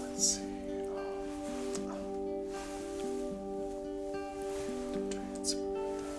Let's see. Um, oh. Transfer that.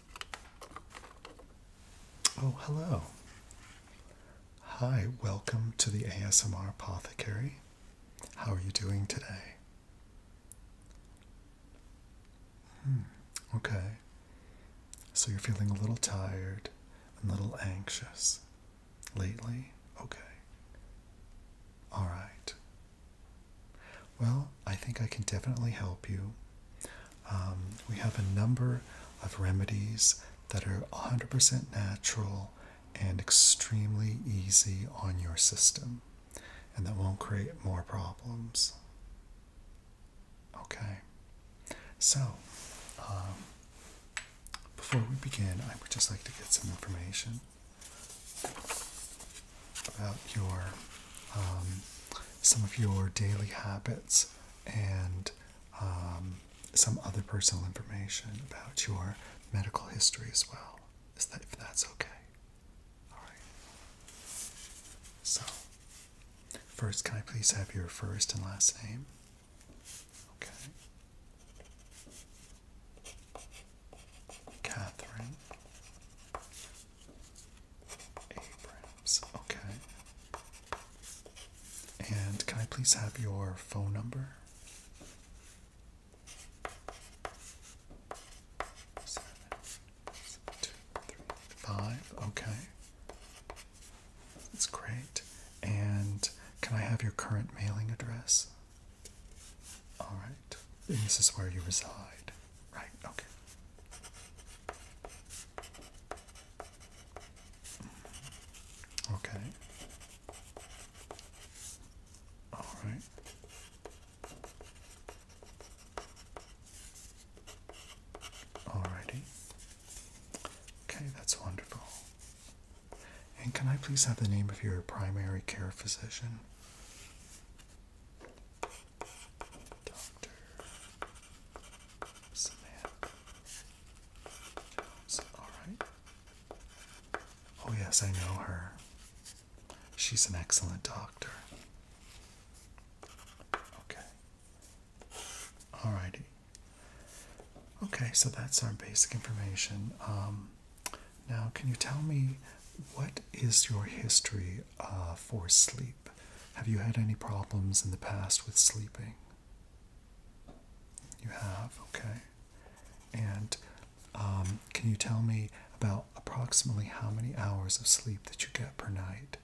Oh, hello. Hi, welcome to the ASMR Apothecary. How are you doing today? Hmm, okay. So you're feeling a little tired, and a little anxious lately? Okay. All right. Well, I think I can definitely help you. Um, we have a number of remedies that are 100% natural and extremely easy on your system, and that won't create more problems. Okay, so um, before we begin, I would just like to get some information about your um, some of your daily habits and um, some other personal information about your medical history as well. Is that if that's okay? All right. So, first, can I please have your first and last name? Okay. Catherine. Abrams. Okay. And can I please have your phone number? Seven, two, three, five. Okay. That's great. And can I have your current mailing address? All right. And this is where you reside right? Okay. Okay. All right. Alrighty. Okay, that's wonderful. And can I please have the name of your primary care physician? Doctor Samantha Alright. Oh, yes, I know her. She's an excellent doctor. Okay. Alrighty. Okay, so that's our basic information. Um, now, can you tell me what is your history uh, for sleep? Have you had any problems in the past with sleeping? You have, okay. And um, can you tell me about approximately how many hours of sleep that you get per night?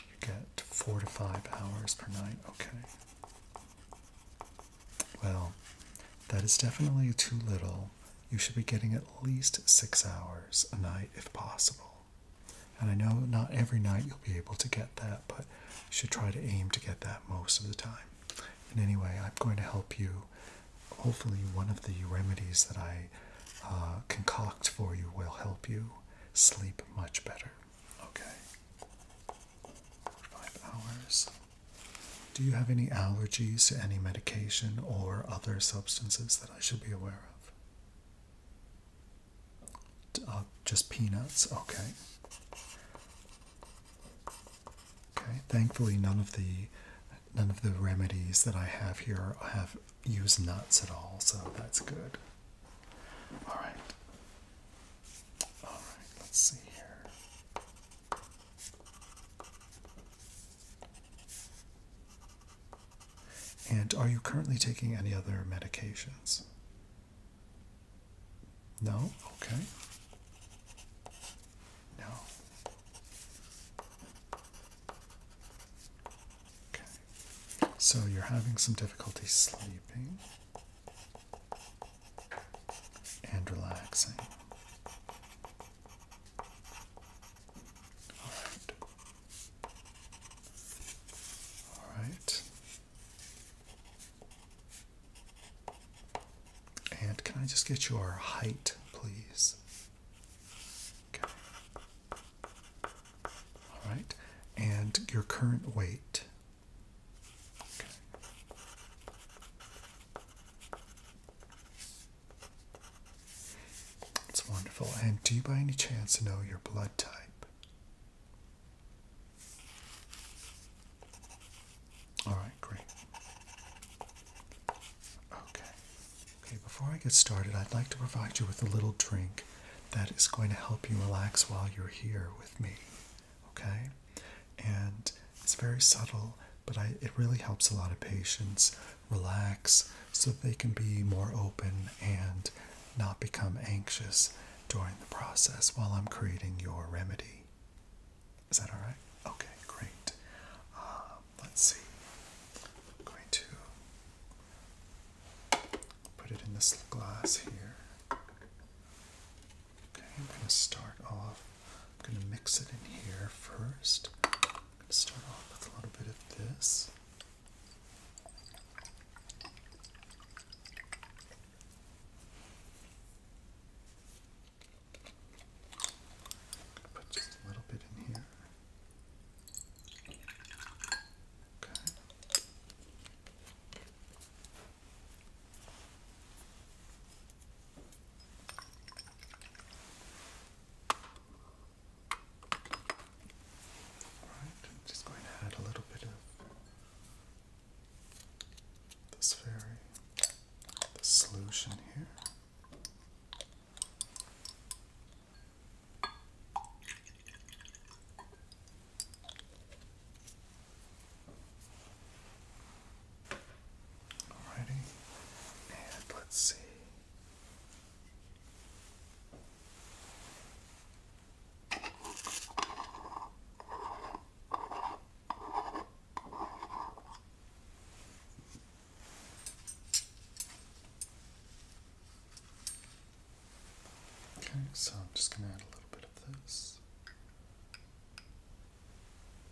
You get four to five hours per night, okay. Well, that is definitely too little you should be getting at least six hours a night if possible. And I know not every night you'll be able to get that, but you should try to aim to get that most of the time. And anyway, I'm going to help you. Hopefully, one of the remedies that I uh, concoct for you will help you sleep much better. Okay. Five hours. Do you have any allergies to any medication or other substances that I should be aware of? Uh, just peanuts, okay. Okay, thankfully none of the none of the remedies that I have here have used nuts at all, so that's good. All right. All right, let's see here. And are you currently taking any other medications? No? Okay. No. Okay. So you're having some difficulty sleeping and relaxing. Alright. Alright. And can I just get your height, please? Alright. And your current weight. It's wonderful. And do you by any chance know your blood type? All right, great. Okay. Okay, before I get started, I'd like to provide you with a little drink that is going to help you relax while you're here with me. Okay? And it's very subtle, but it really helps a lot of patients relax so they can be more open and not become anxious during the process while I'm creating your remedy. Is that all right? Okay, great. Um, let's see. going to put it in this glass here. Okay, I'm going to start off. I'm going to mix it in here first. I'm going to start off with a little bit of this. Put just a little bit in here. Okay. Alright, just going to add a little bit of this very the solution here. Alrighty, and let's see. Okay, so I'm just going to add a little bit of this.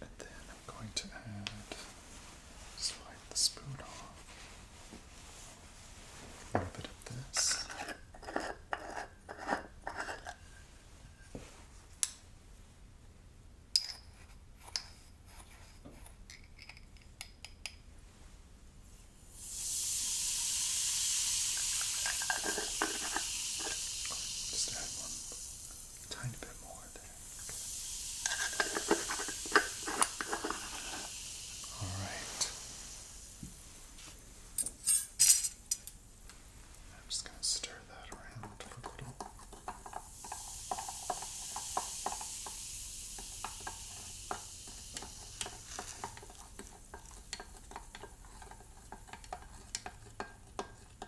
And then I'm going to add, slide the spoon off, a little bit of this. Just add one Tiny bit more there. All right. I'm just going to stir that around for a little.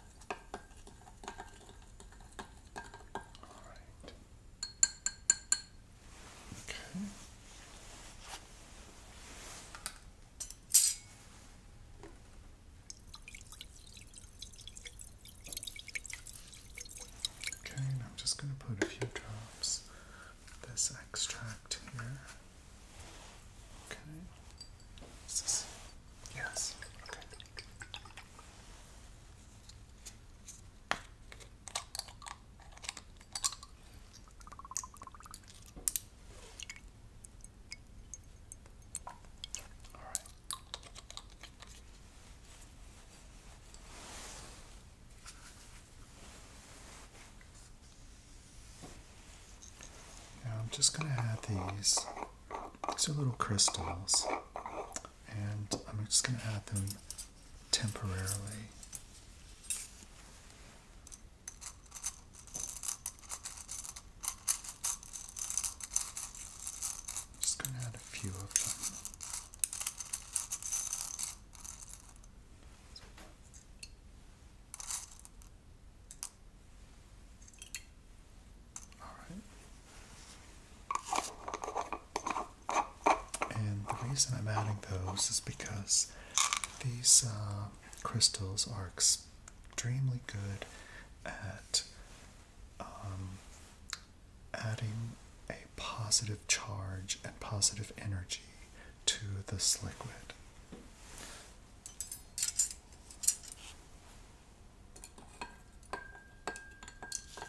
All right. Okay. Okay, I'm just going to put a few drops of this extract here. Okay. Yes. Okay. Now I'm just going to add these these are little crystals, and I'm just going to add them temporarily. Just going to add a few of them. Alright. And the reason I'm adding those is because these uh, crystals are extremely good at um, adding a positive charge and positive energy to this liquid. So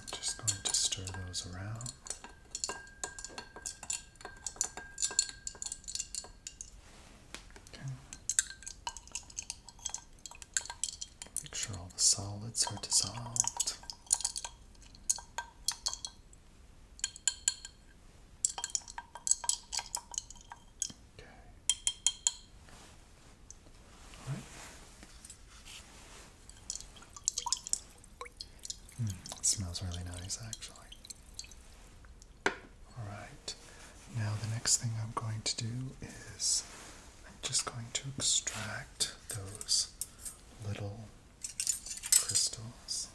I'm just going to stir those around. Okay. Make sure all the solids are dissolved. Okay it hmm, smells really nice, actually. All right. Now the next thing I'm going to do is I'm just going to extract those little crystals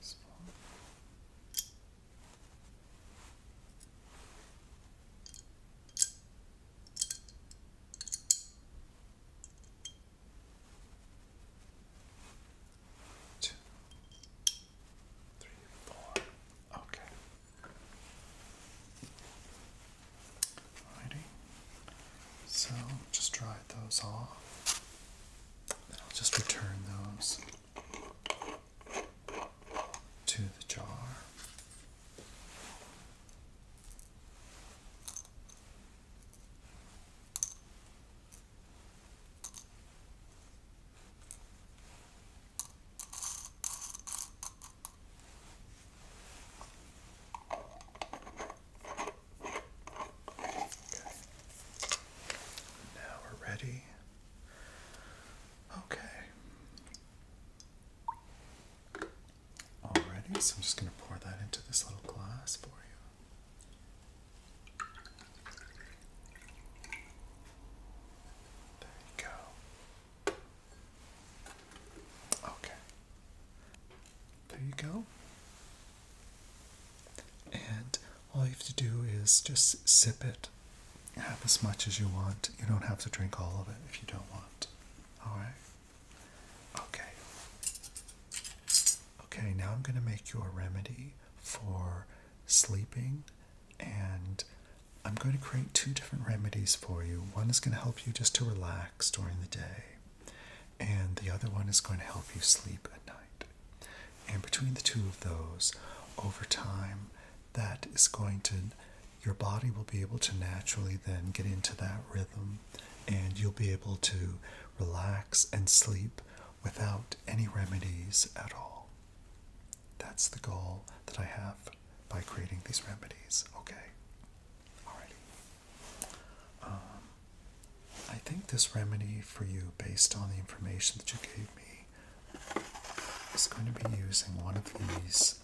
spoon. Two, three, four. Okay. Alrighty. So just dry those off. Then I'll just return those to the jar. Now we're ready. Okay. Alrighty, so I'm just going to pour that into this little glass for you. There you go. Okay. There you go. And all you have to do is just sip it. Have as much as you want. You don't have to drink all of it if you don't want. Alright? Okay. Okay, now I'm going to make you a remedy for sleeping and I'm going to create two different remedies for you. One is going to help you just to relax during the day, and the other one is going to help you sleep at night. And between the two of those, over time, that is going to, your body will be able to naturally then get into that rhythm and you'll be able to relax and sleep without any remedies at all. That's the goal that I have by creating these remedies, okay? Alrighty. Um, I think this remedy for you, based on the information that you gave me, is going to be using one of these,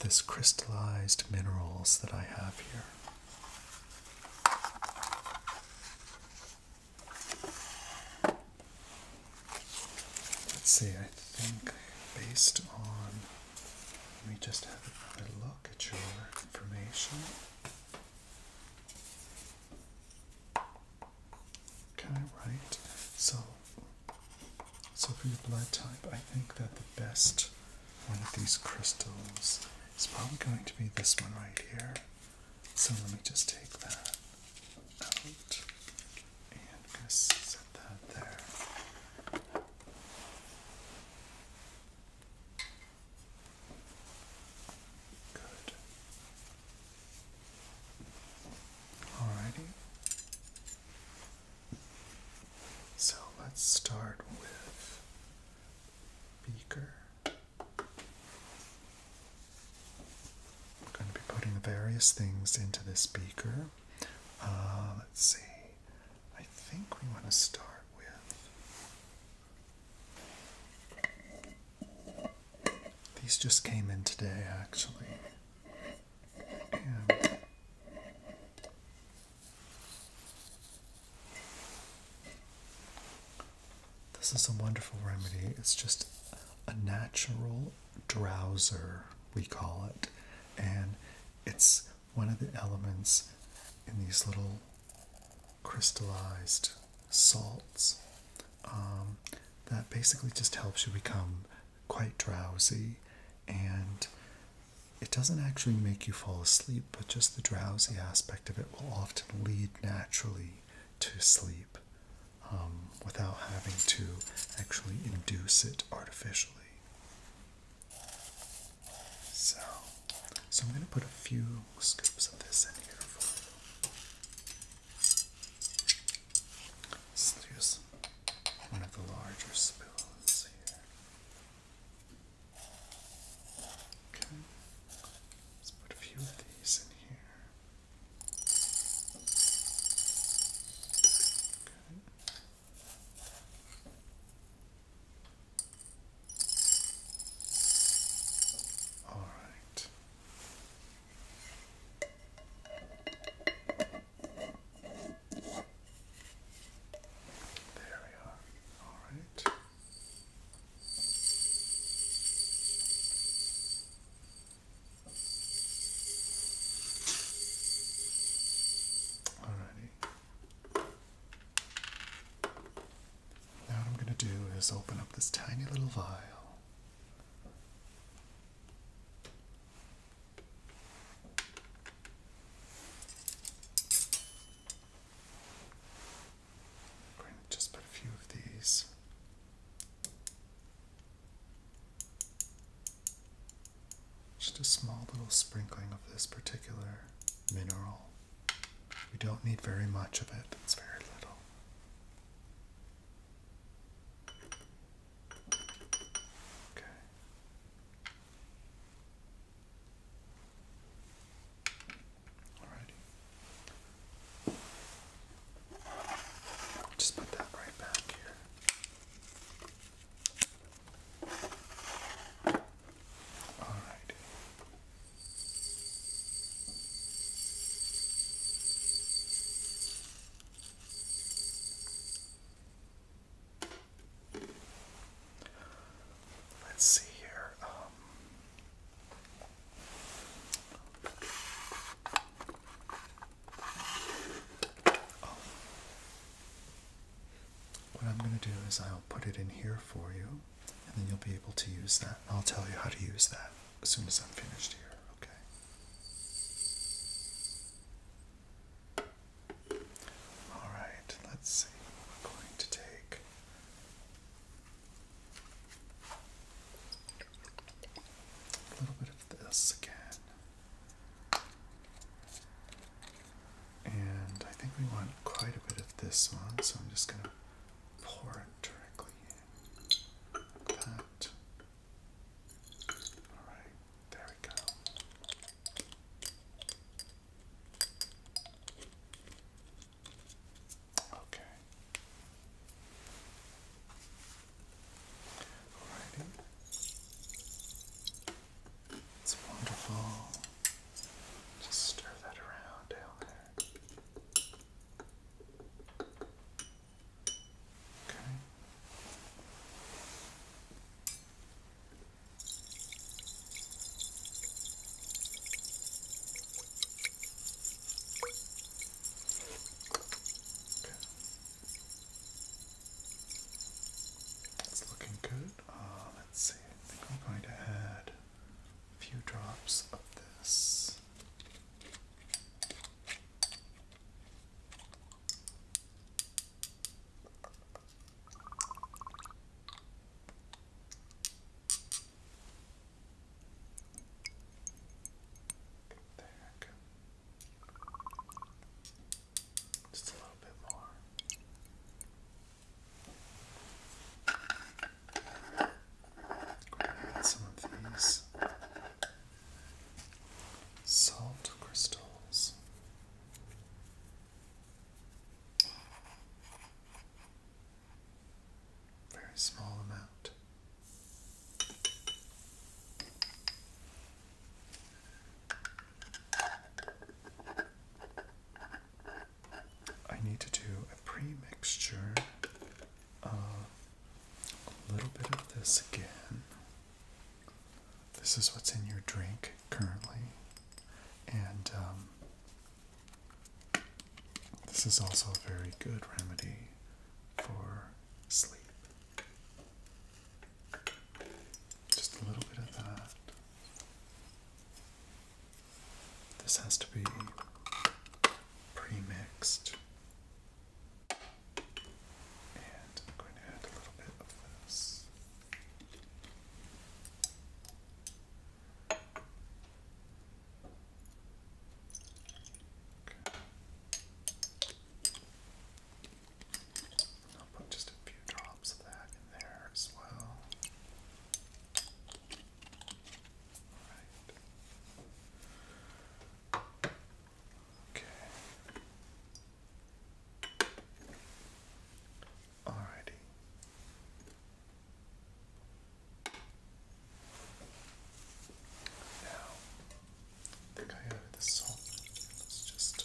this crystallized minerals that I have here. Let's see, I think based on, let me just have another look look at your information. Okay, right. So, so for your blood type, I think that the best one of these crystals is probably going to be this one right here. So let me just take that out and just set that there. Good. Alrighty. So let's start with beaker. I'm going to be putting various things into this beaker. Uh, let's see. I think we want to start with. These just came in today, actually. this is a wonderful remedy. It's just a natural drowser, we call it. And it's one of the elements in these little crystallized salts um, that basically just helps you become quite drowsy and it doesn't actually make you fall asleep, but just the drowsy aspect of it will often lead naturally to sleep um, without having to actually induce it artificially. So, so I'm going to put a few scoops of this in here Let's use one of the larger spoons here. Okay, let's put a few of these in here. All right. There we are. All right. Alrighty. Now, what I'm going to do is open up this tiny little vial. just put a few of these just a small little sprinkling of this particular mineral. We don't need very much of it, it's very little. Okay. Alrighty. Just put that right back here. All right. Let's see here. Um, what I'm going to do is I'll put it in here for you, and then you'll be able to use that. I'll tell you how to use that as soon as I'm finished here, okay? All right, let's see. We're going to take. A little bit of this again. And I think we want quite a bit of this one, so I'm just going to pour it directly in. Alright, there we go. Okay. Alrighty. It's wonderful. Just stir that around down there. Okay. Okay. It's looking good. Oh, let's see, I think I'm going to add a few drops of this. There just a little bit more. some of these salt crystals. Very small amount. I need to do a pre-mixture of a little bit of this again. This is what's in your drink currently, and um, this is also a very good remedy for sleep. Just a little bit of that. This has to be pre-mixed. And I'm going to add a little bit of this. I'll put just a few drops of that in there as well. All right. Okay. Alrighty. Now, think I added the salt. Let's just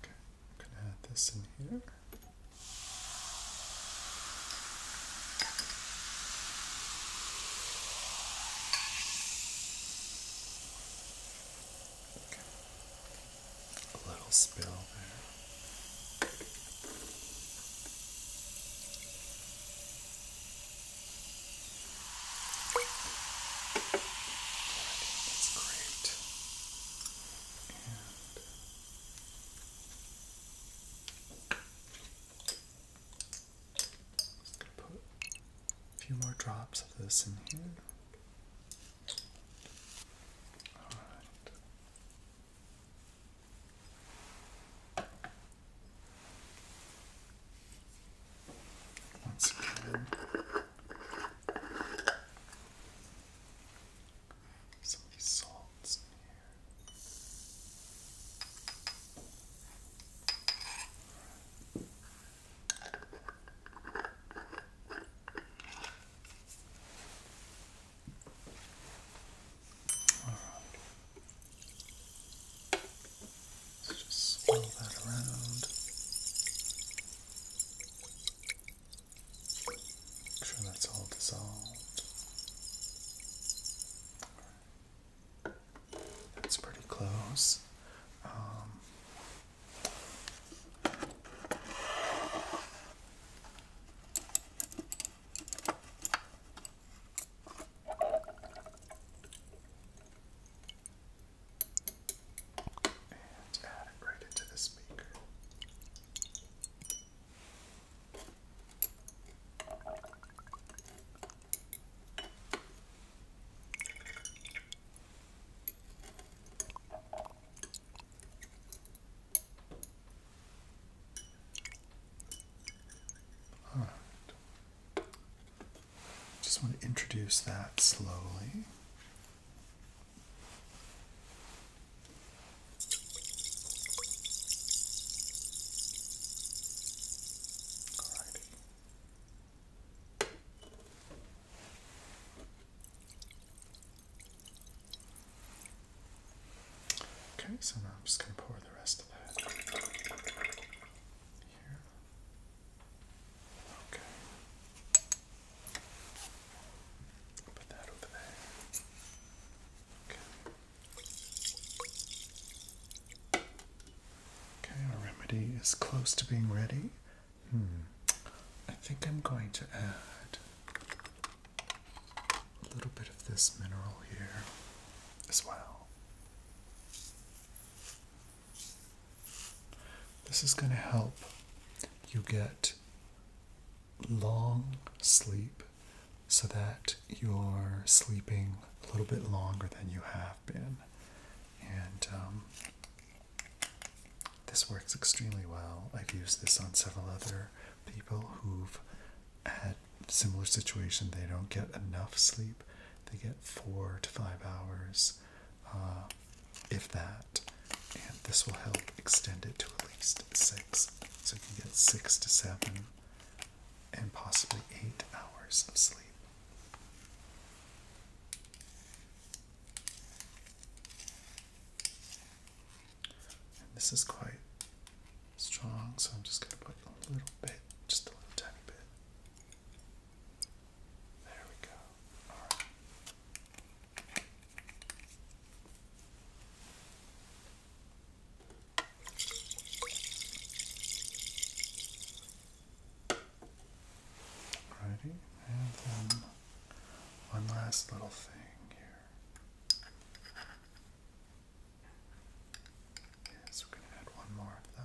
Okay, I'm going to add this in here. Okay. A little spill there. That's great. And Put a few more drops of this in here. All right. Once again, some of these salts in here. right. Let's just swirl that around. Make sure that's all dissolved. That's pretty close. Um, and add it right into the speaker. All right. Just want to introduce that slowly. Okay, so now I'm just going to pour the rest of that here. Okay. Okay. Okay, our remedy is close to being ready. Hmm. I think I'm going to add a little bit of this mineral here as well. This is going to help you get long sleep so that you're sleeping a little bit longer than you have been. And um, this works extremely well. I've used this on several other people who've had similar situation. They don't get enough sleep. They get four to five hours uh, if that. And this will help extend it to at least six. So you can get six to seven and possibly eight hours of sleep. And this is quite strong, so I'm just going to put a little bit, just a little tiny bit. There we go. Alrighty, and then one last little thing here. Yes, we're gonna add one more of that.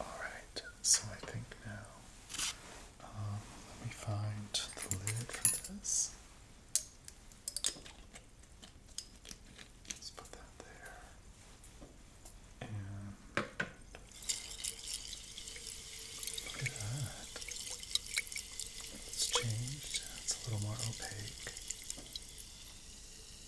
Alright, so I think now um, let me find the lid for this. Let's put that there. And look at that. It's changed. It's a little more opaque.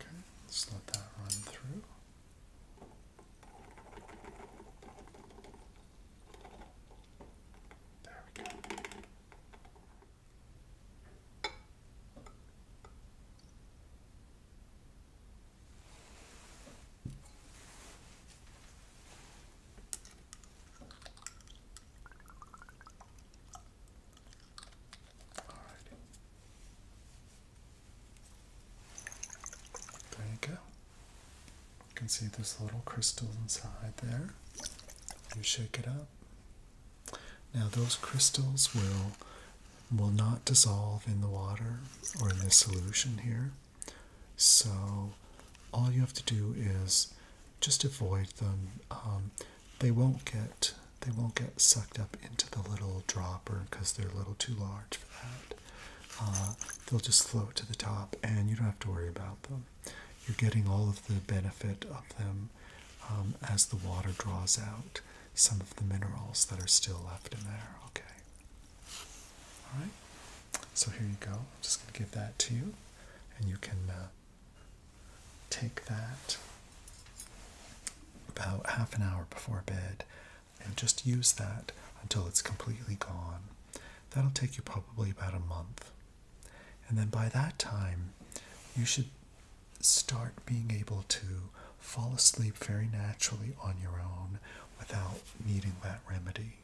Okay, let's let that run through. There we go. There you go. You can see there's little crystals inside there. You shake it up. Now those crystals will will not dissolve in the water or in this solution here. So all you have to do is just avoid them. Um, they won't get they won't get sucked up into the little dropper because they're a little too large for that. Uh, they'll just float to the top and you don't have to worry about them. You're getting all of the benefit of them um, as the water draws out some of the minerals that are still left in there. Okay. All right. So here you go. I'm just going to give that to you, and you can uh, take that about half an hour before bed and just use that until it's completely gone. That'll take you probably about a month. And then by that time, you should start being able to fall asleep very naturally on your own without needing that remedy.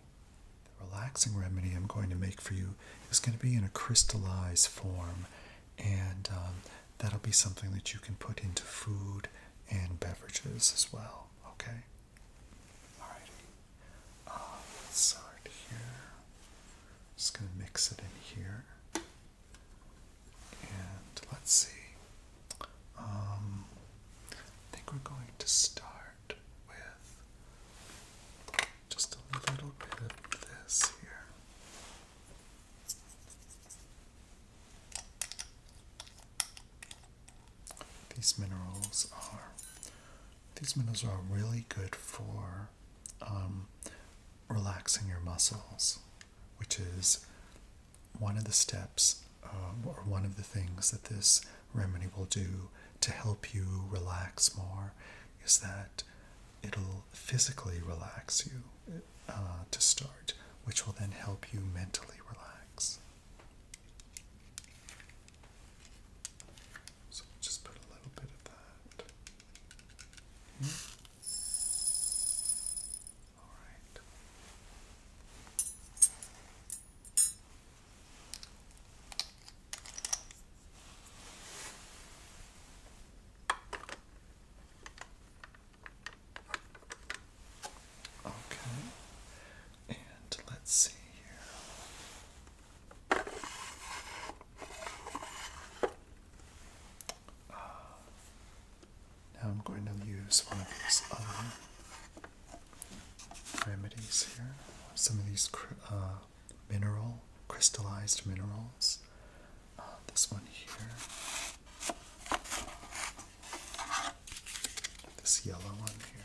The relaxing remedy I'm going to make for you is going to be in a crystallized form, and um, that'll be something that you can put into food and beverages as well. Okay? Alrighty. Uh, let's start here. Just gonna mix it in here. And let's see. Um, I think we're going to start with just a little bit of this here. These minerals are these minerals are really good for um, relaxing your muscles, which is one of the steps um, or one of the things that this remedy will do to help you relax more is that it'll physically relax you uh, to start, which will then help you mentally relax. So just put a little bit of that. All right. Okay, and let's see here. Ah. now I'm going to use one of these remedies here. Some of these uh, mineral, crystallized minerals. Uh, this one here. This yellow one here.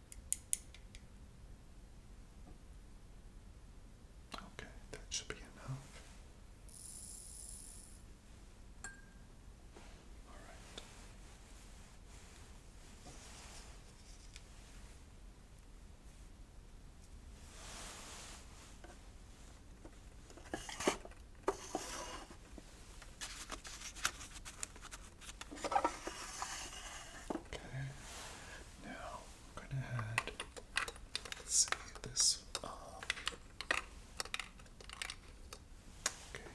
Okay, that should be enough. All right. Okay. Now I'm let's see this um, okay. Okay.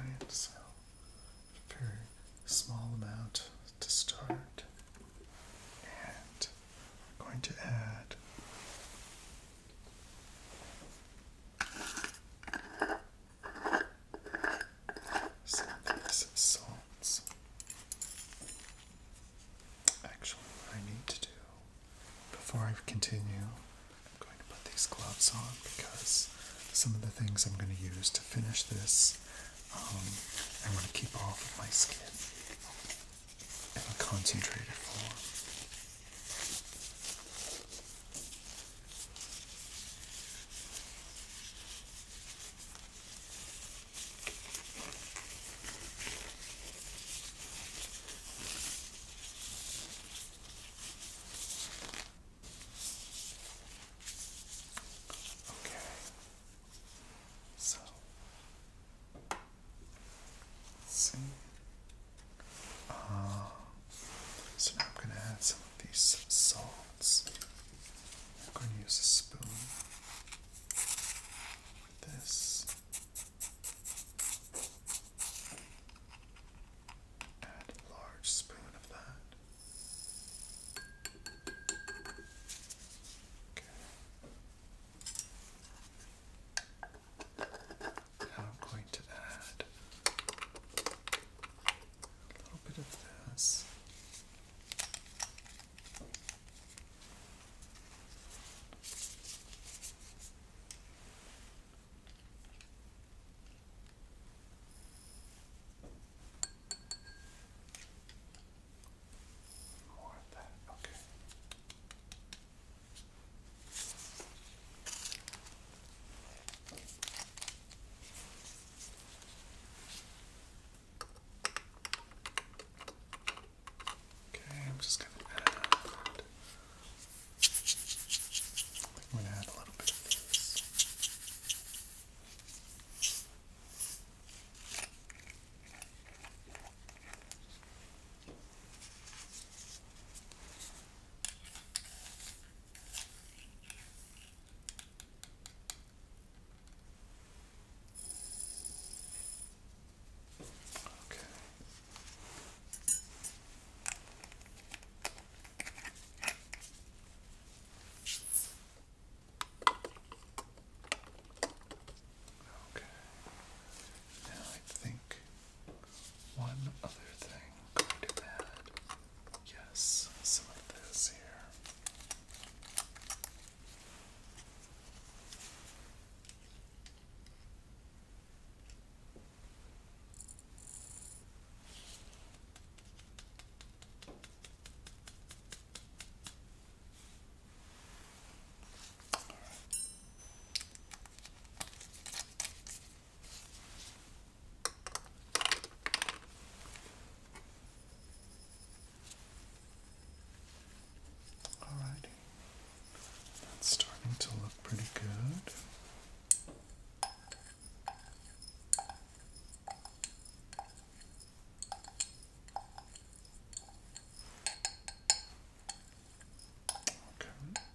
Alright, so a very small amount to start, and I'm going to add. Some of these salts. Actually, I need to do before I continue, I'm going to put these gloves on because some of the things I'm going to use to finish this, um, I want to keep off of my skin in a concentrated form. Okay. So see. Uh, so now I'm going to add some of these salts. I'm going to use a spoon this. Add a large spoon of that. Okay. Now I'm going to add a little bit of this. More of that, okay. Okay, I'm just going to add. a little bit Okay. Okay. Now I think one other thing i to add Yes, some of this here. Alrighty, that's starting to look pretty good. Okay.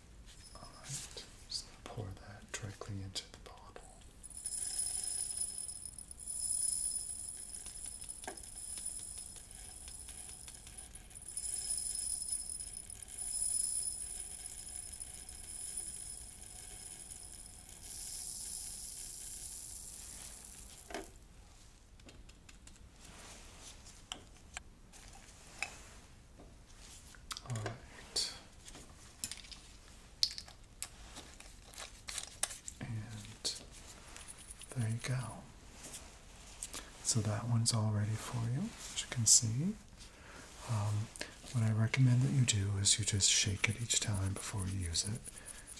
Alright, pour that directly into the bottle. All right. And there you go. So that one's all ready for you, as you can see. Um, what I recommend that you do is you just shake it each time before you use it,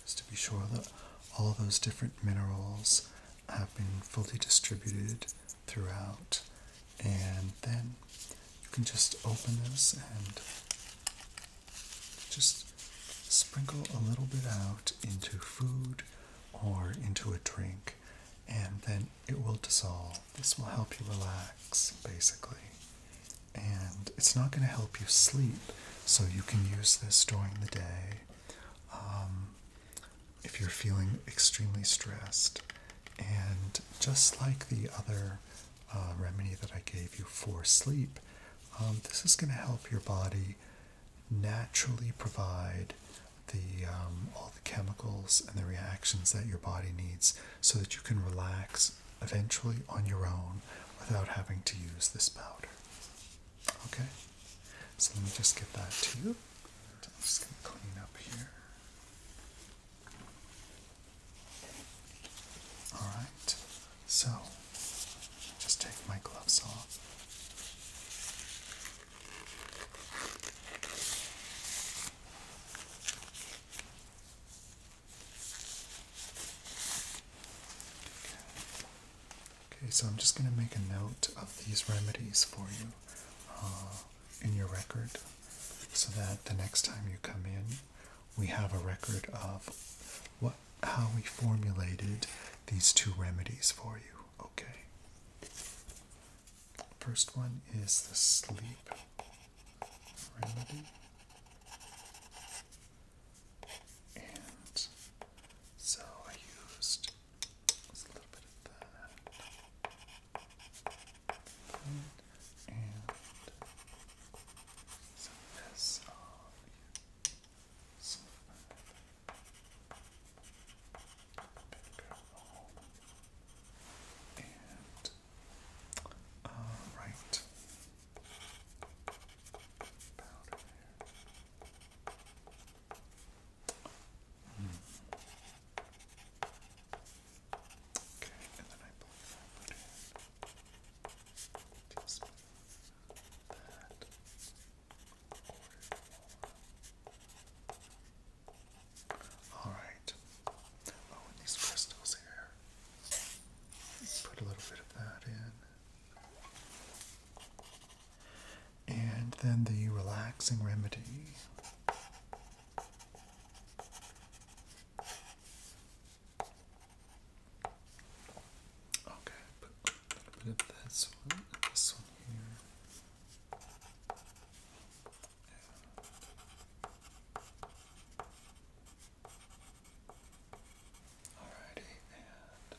just to be sure that all those different minerals have been fully distributed throughout and then you can just open this and just sprinkle a little bit out into food or into a drink and then it will dissolve. This will help you relax basically. And it's not going to help you sleep, so you can use this during the day. Um, if you're feeling extremely stressed. And just like the other uh, remedy that I gave you for sleep, um, this is going to help your body naturally provide the um, all the chemicals and the reactions that your body needs so that you can relax eventually on your own without having to use this powder. Okay? So let me just get that to you. I'm just going to clean up here. Alright, so just take my gloves off. Okay. okay, so I'm just going to make a note of these remedies for you. Uh, in your record so that the next time you come in, we have a record of what how we formulated these two remedies for you. Okay. First one is the sleep remedy. And so I used just a little bit of that. And some of this on some of that. And uh, right powder there. Okay, and then I believe I put in just that Alright. Oh, these crystals here. Put a little bit of that in and then the relaxing remedy. Okay, put a bit of this one, this one here. Alrighty, and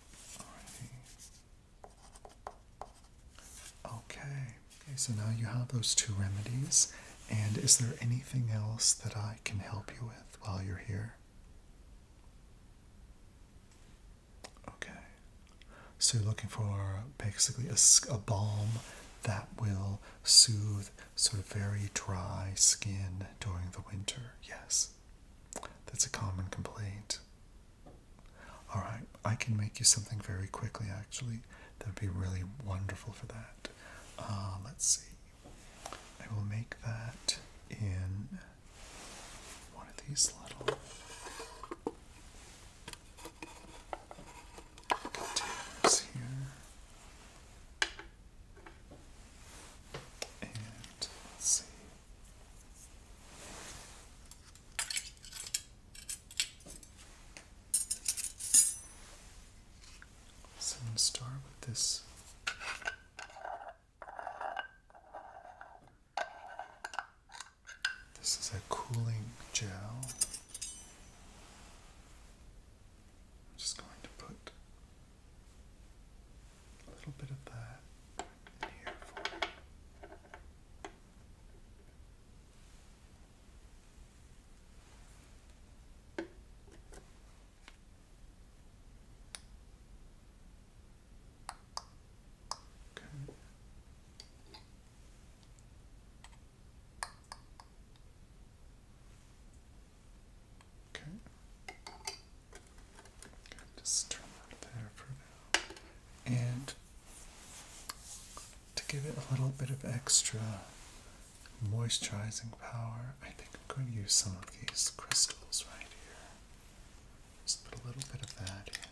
Okay. Okay, so now you have those two remedies. And is there anything else that I can help you with while you're here? Okay. So you're looking for basically a, a balm that will soothe sort of very dry skin during the winter. Yes. That's a common complaint. All right, I can make you something very quickly, actually. That would be really wonderful for that. Uh, let's see. I will make that in one of these little containers here. And let's see. So I'm going to start with this. This is a cooling gel. I'm just going to put a little bit of that in here Okay. Okay. Just turn that there for now. And to give it a little bit of extra moisturizing power, I think I'm going to use some of these crystals right here. Just put a little bit of that in.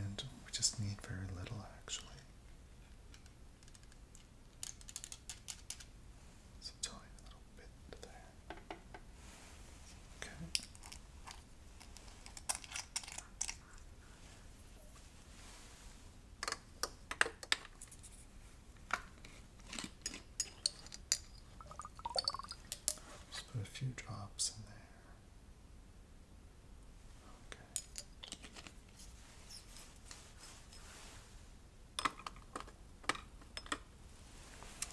And we just need very little actually. It's a tiny little bit there. Okay. Just put a few drops in there. Okay.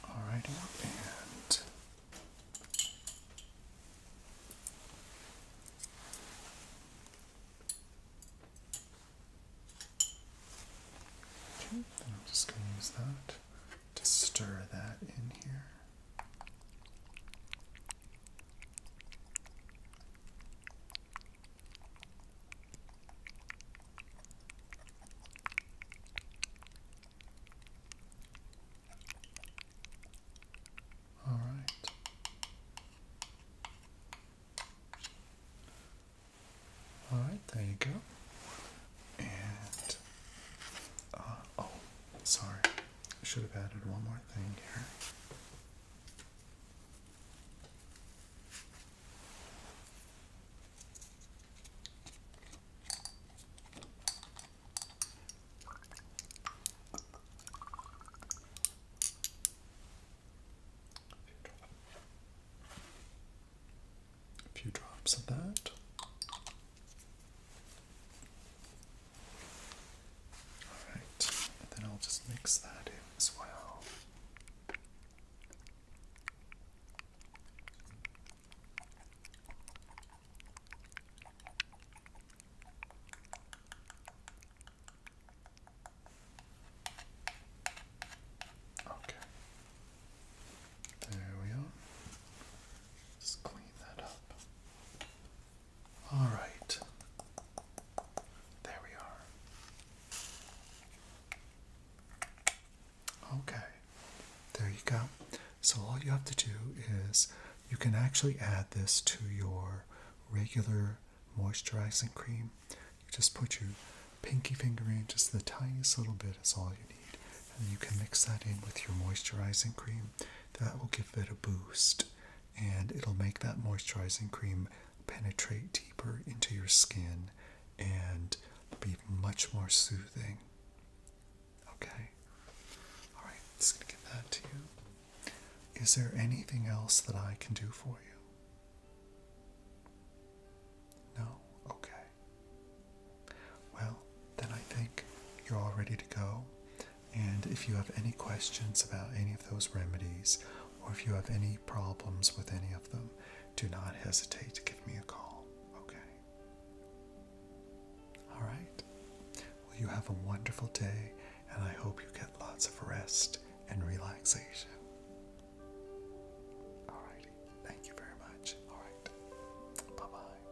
Alrighty, and I'm just going to use that to stir that in here. All right. All right, there you go. And uh, oh, sorry, I should have added one more thing here. A few drops of that. Alright, and then I'll just mix that in as well. Okay. There we are. Just clean that up. All right. There we are. Okay, there you go. So all you have to do is you can actually add this to your regular moisturizing cream. You just put your pinky finger in, just the tiniest little bit is all you need. And you can mix that in with your moisturizing cream. That will give it a boost and it'll make that moisturizing cream penetrate deeper into your skin and be much more soothing. Okay? Alright, just gonna give that to you. Is there anything else that I can do for you? No? Okay. Well, then I think you're all ready to go. And if you have any questions about any of those remedies or if you have any problems with any of them, do not hesitate to give me a call, okay? All right. Well, you have a wonderful day, and I hope you get lots of rest and relaxation. All righty. Thank you very much. All right. Bye bye.